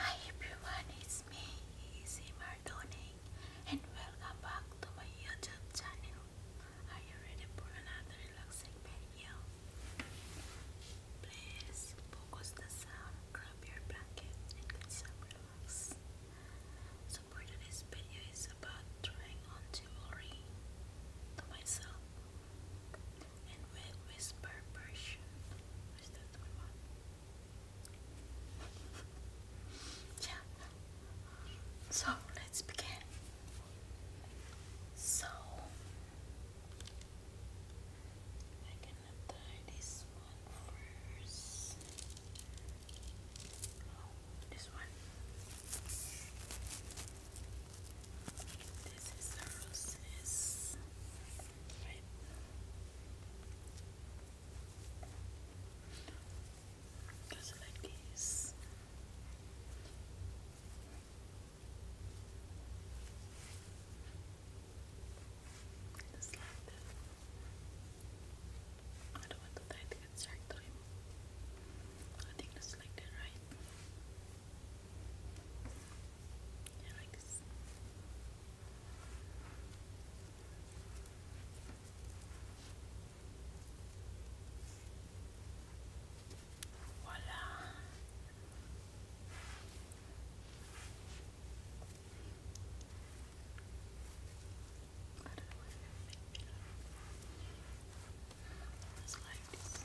Hi everyone, it's me, Easy Mardoning, and welcome back to my YouTube channel. Are you ready for another relaxing video? Please focus the sound, grab your blanket, and get some relax. So for today's video is about trying on jewelry to myself and with whisper version yeah. So let's begin. So I'm gonna tie this one first. Oh, this one. This is the roses. Right. Goes like this. Just like that. I don't want to tie the inside trim. I think that's like that, right? I like this. Voila. I don't know what it's gonna make me look. Those lights.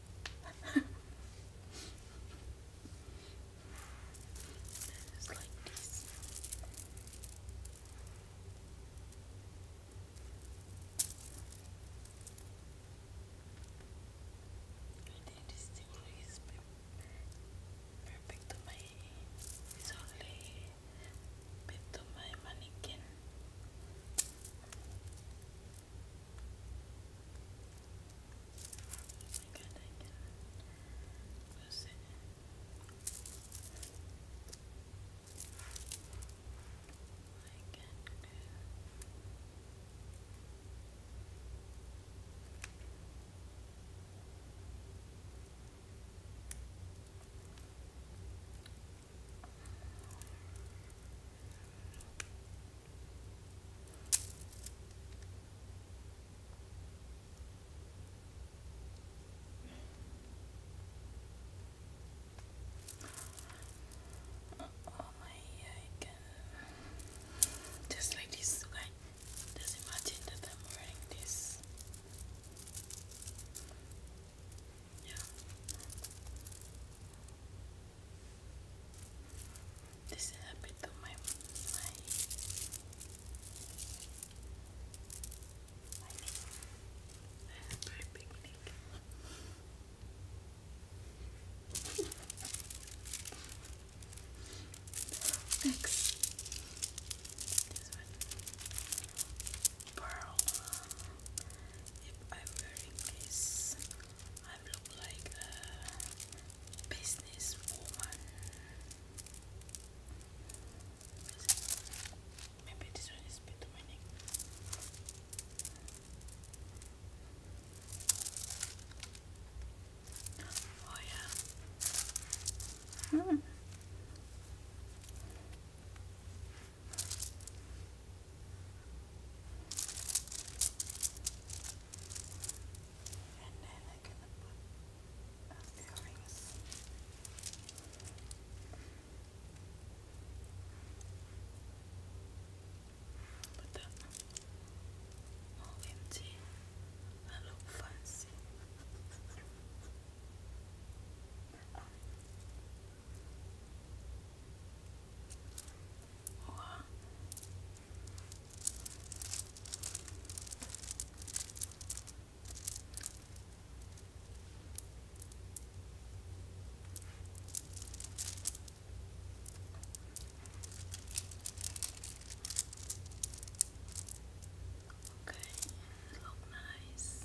Just like I think this thing is my it's only bit my mannequin. Oh my god, I cannot. Listen. I can't do I Oh my God. Just like this guy. Just imagine that I'm wearing this. Yeah. This is a bit of my my my big neck. Next, pearl. If I'm wearing this I look like a business woman. Maybe this one is a Oh yeah. Mm. And then I can put uh, earrings. But that all empty. I look fancy or Okay, look nice.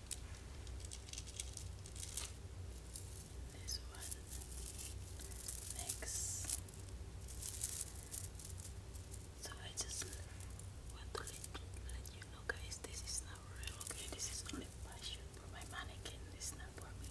This one next. So I just want to let, you know, guys. This is not real. Okay, this is only for my mannequin. It's not for me.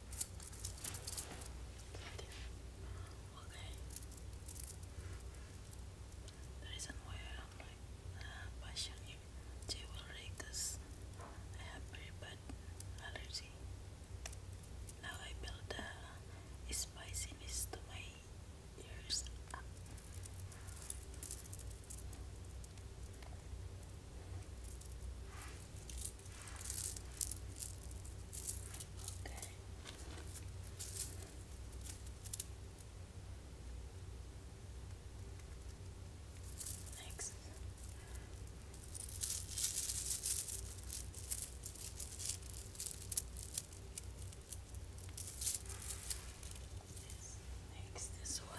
Okay. The reason why I'm like uh, passionate, they will read I have very bad allergy. Now I build the spiciness to my ears. Okay. Next. This next this one.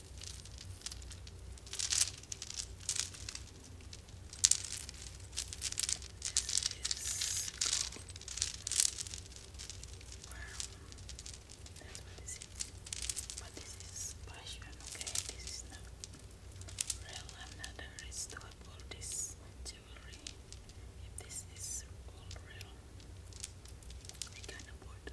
This is gold. That's what this But this is passion, okay? This is real. I'm not a to uphold this jewelry. If this is all real, I can afford to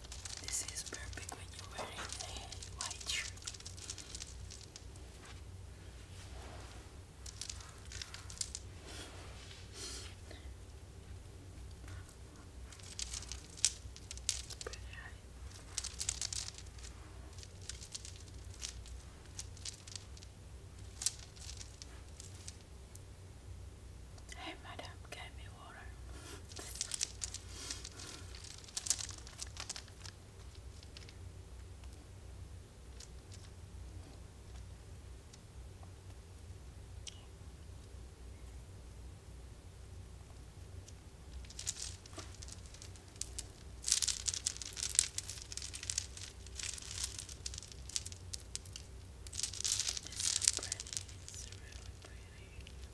This is perfect when you're wearing a white shirt. Pretty high. Hey, madam, get me water. It's so pretty. It's really pretty.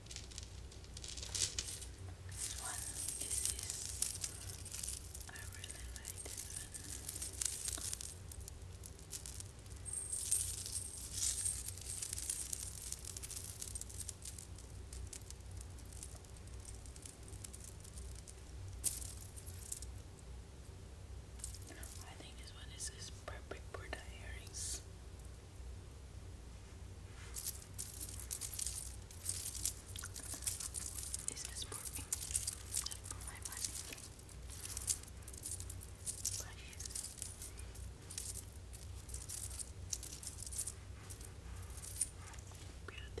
This one is I really like this one. I think this one is, is perfect for the earrings. This is for me, not for my money. Precious. Beautiful. Right?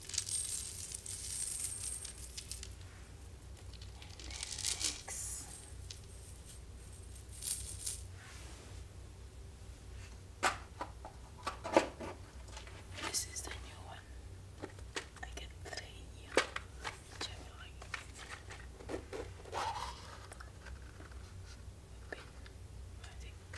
And relax. This is the new one. I get three new January. Open. I think. Uh,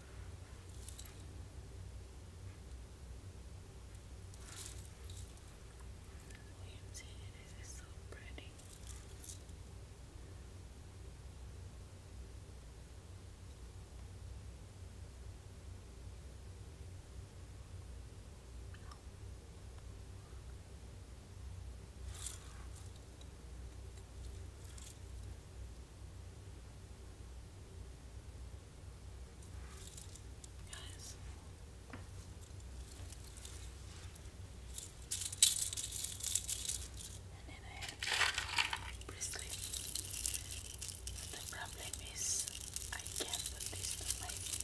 Williams Inn so pretty. Guys. And then I have bristly. the problem is I can't put this to my thing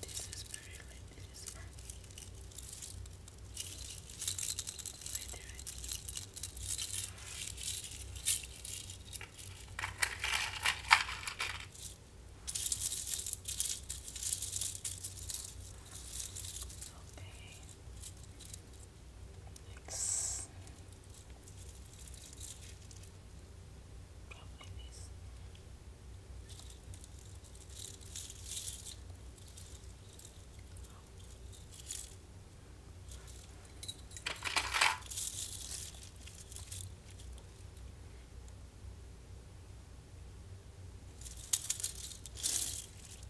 This is very late. This is fun. Later. Okay. It's probably this.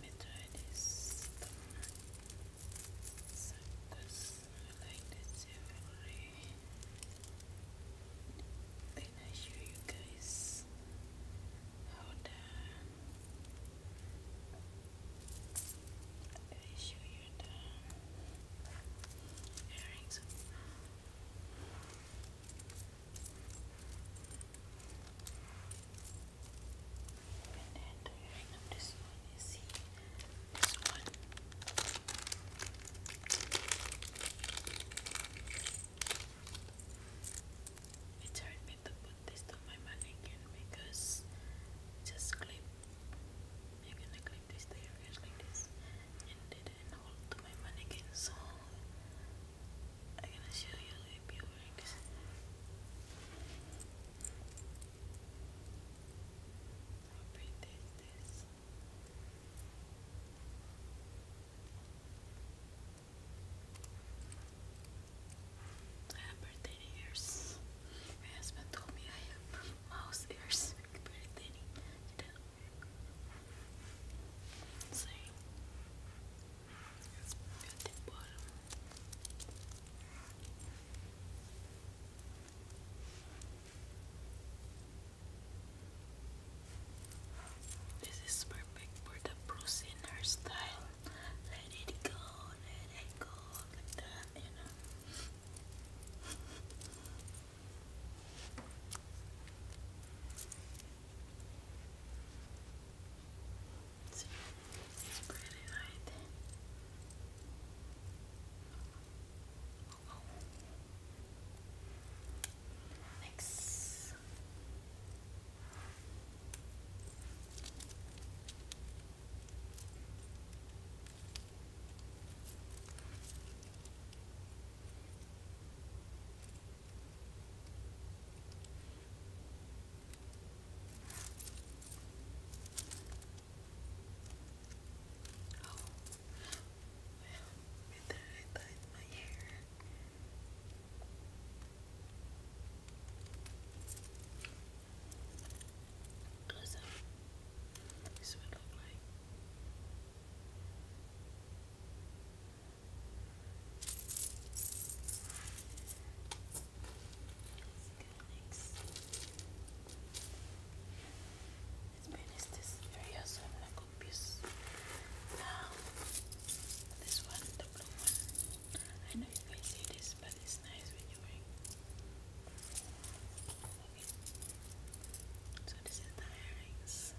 meteorites circus like this every then I show you guys how the I show you the earrings and then you to put this to my mannequin because just clip you're gonna clip this to like this and then hold to my mannequin so I'm gonna show you the viewings. How pretty is I have birthday ears. My husband told me I have mouse ears. Pretty thinny. Same. This is perfect for the bruising hairstyle. Let it go, let it go, like that, you know. See, it's pretty right. Next. Oh, well, with that my hair. Cause um, this would look like. Let's finish this area so I'm not confused. Now, this one, the blue I know you guys see this, but it's nice when you wearing. Okay. So this is the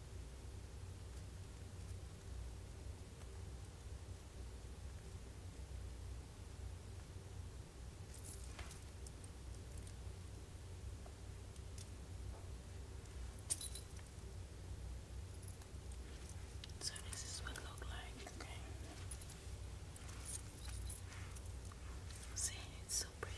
So this is what it look like, okay? See, it's so pretty,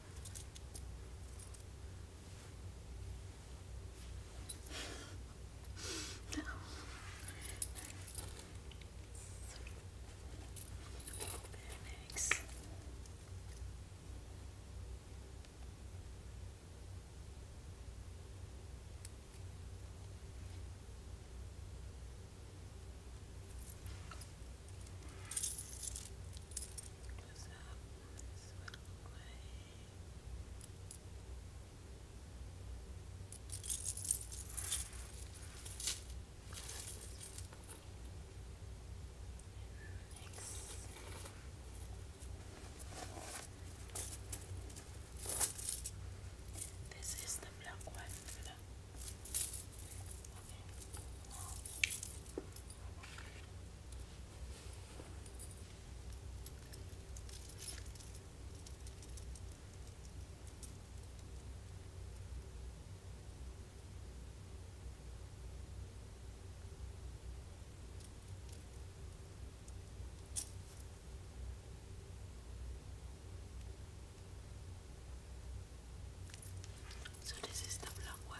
no. Very Close up. This is the black one so this is the black one.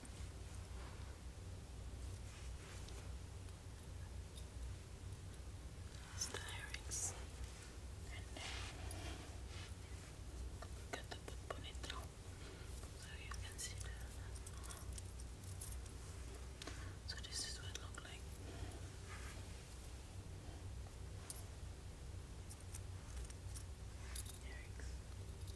It's the lyrics. And then cut the so you can see So this is what it looks like. Lyrics.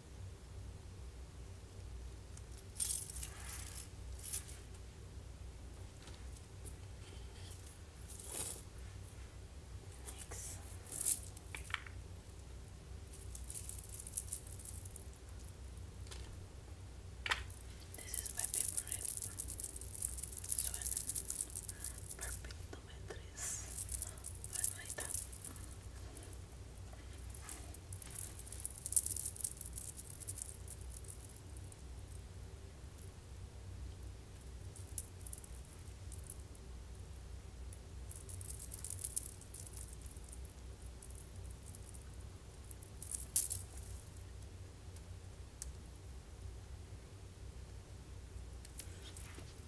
Thanks. This is my favorite. This one, perfect tomatoes, margarita.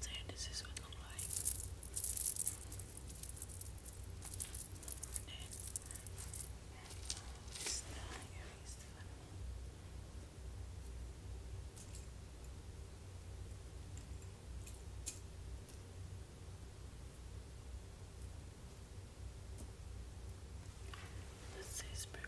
So this is what it looks like. This is Perfect.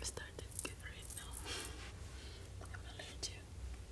I started good now. I'm allergic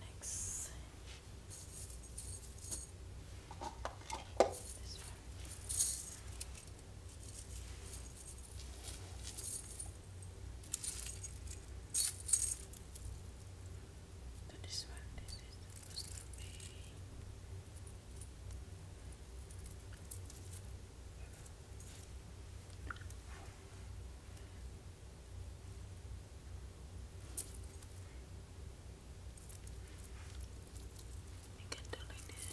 Next, this one. So this one, is supposed to be you can do like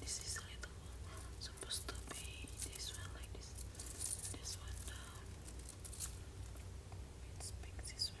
This is a little supposed to be this one like this, this one Let's um, pick this one.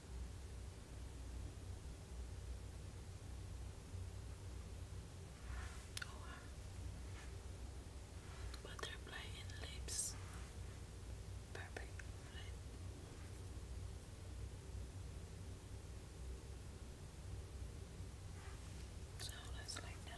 wow. Butterfly in lips. Perfect So let's like that.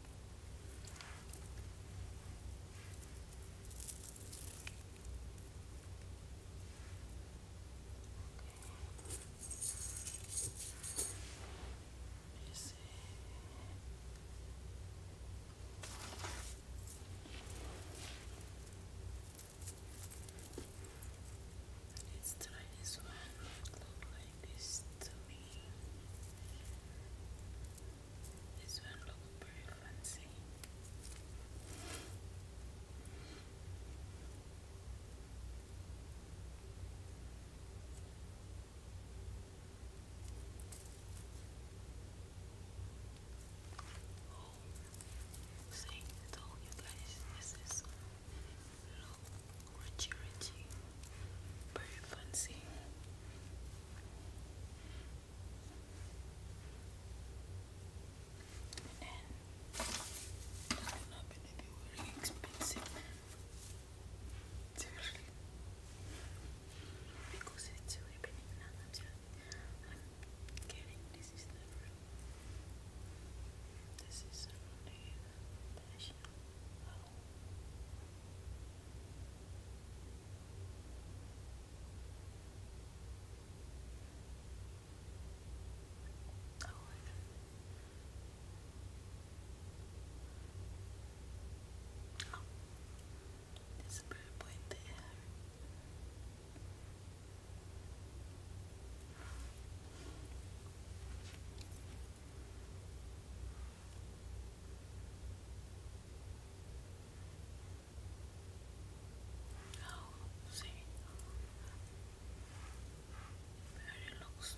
Let's try this one. It like this to me. This one looks pretty fancy. Oh, see, I told you guys this is look richy richy, very fancy. And then I'm not gonna be very expensive. Seriously. Because it's really big now. I'm getting this is the This is only passion. Oh. oh. There's a purple in there. Now oh, see where looks.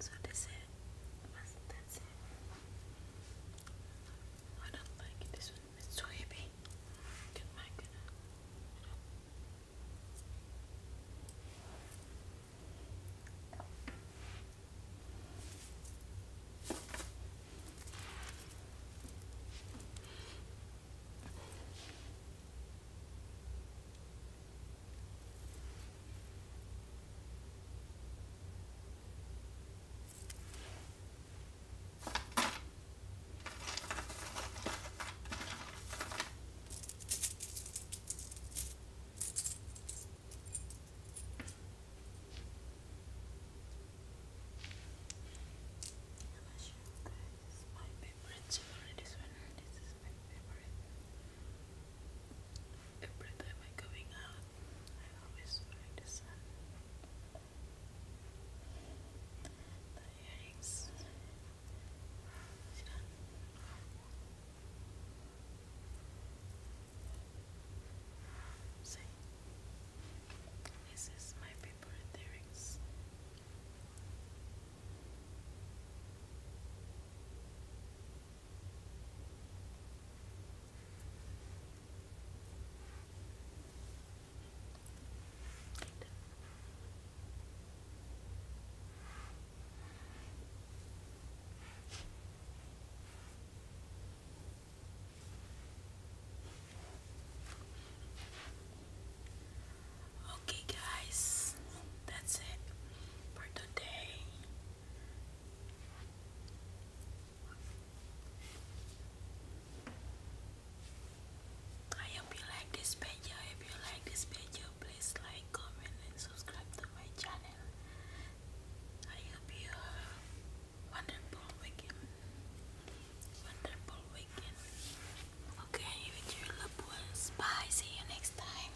So that's it. That's, that's I don't like this one. It's too heavy. Get my I'm my favorite this one, this is my favorite Every time I'm going out, I always wear the sun. earrings this is my favorite earrings. Okay, guys, that's it for today. I hope you like this video. If you like this video, please like, comment, and subscribe to my channel. I hope you wonderful weekend. Wonderful weekend. Okay, with your loved Bye. See you next time.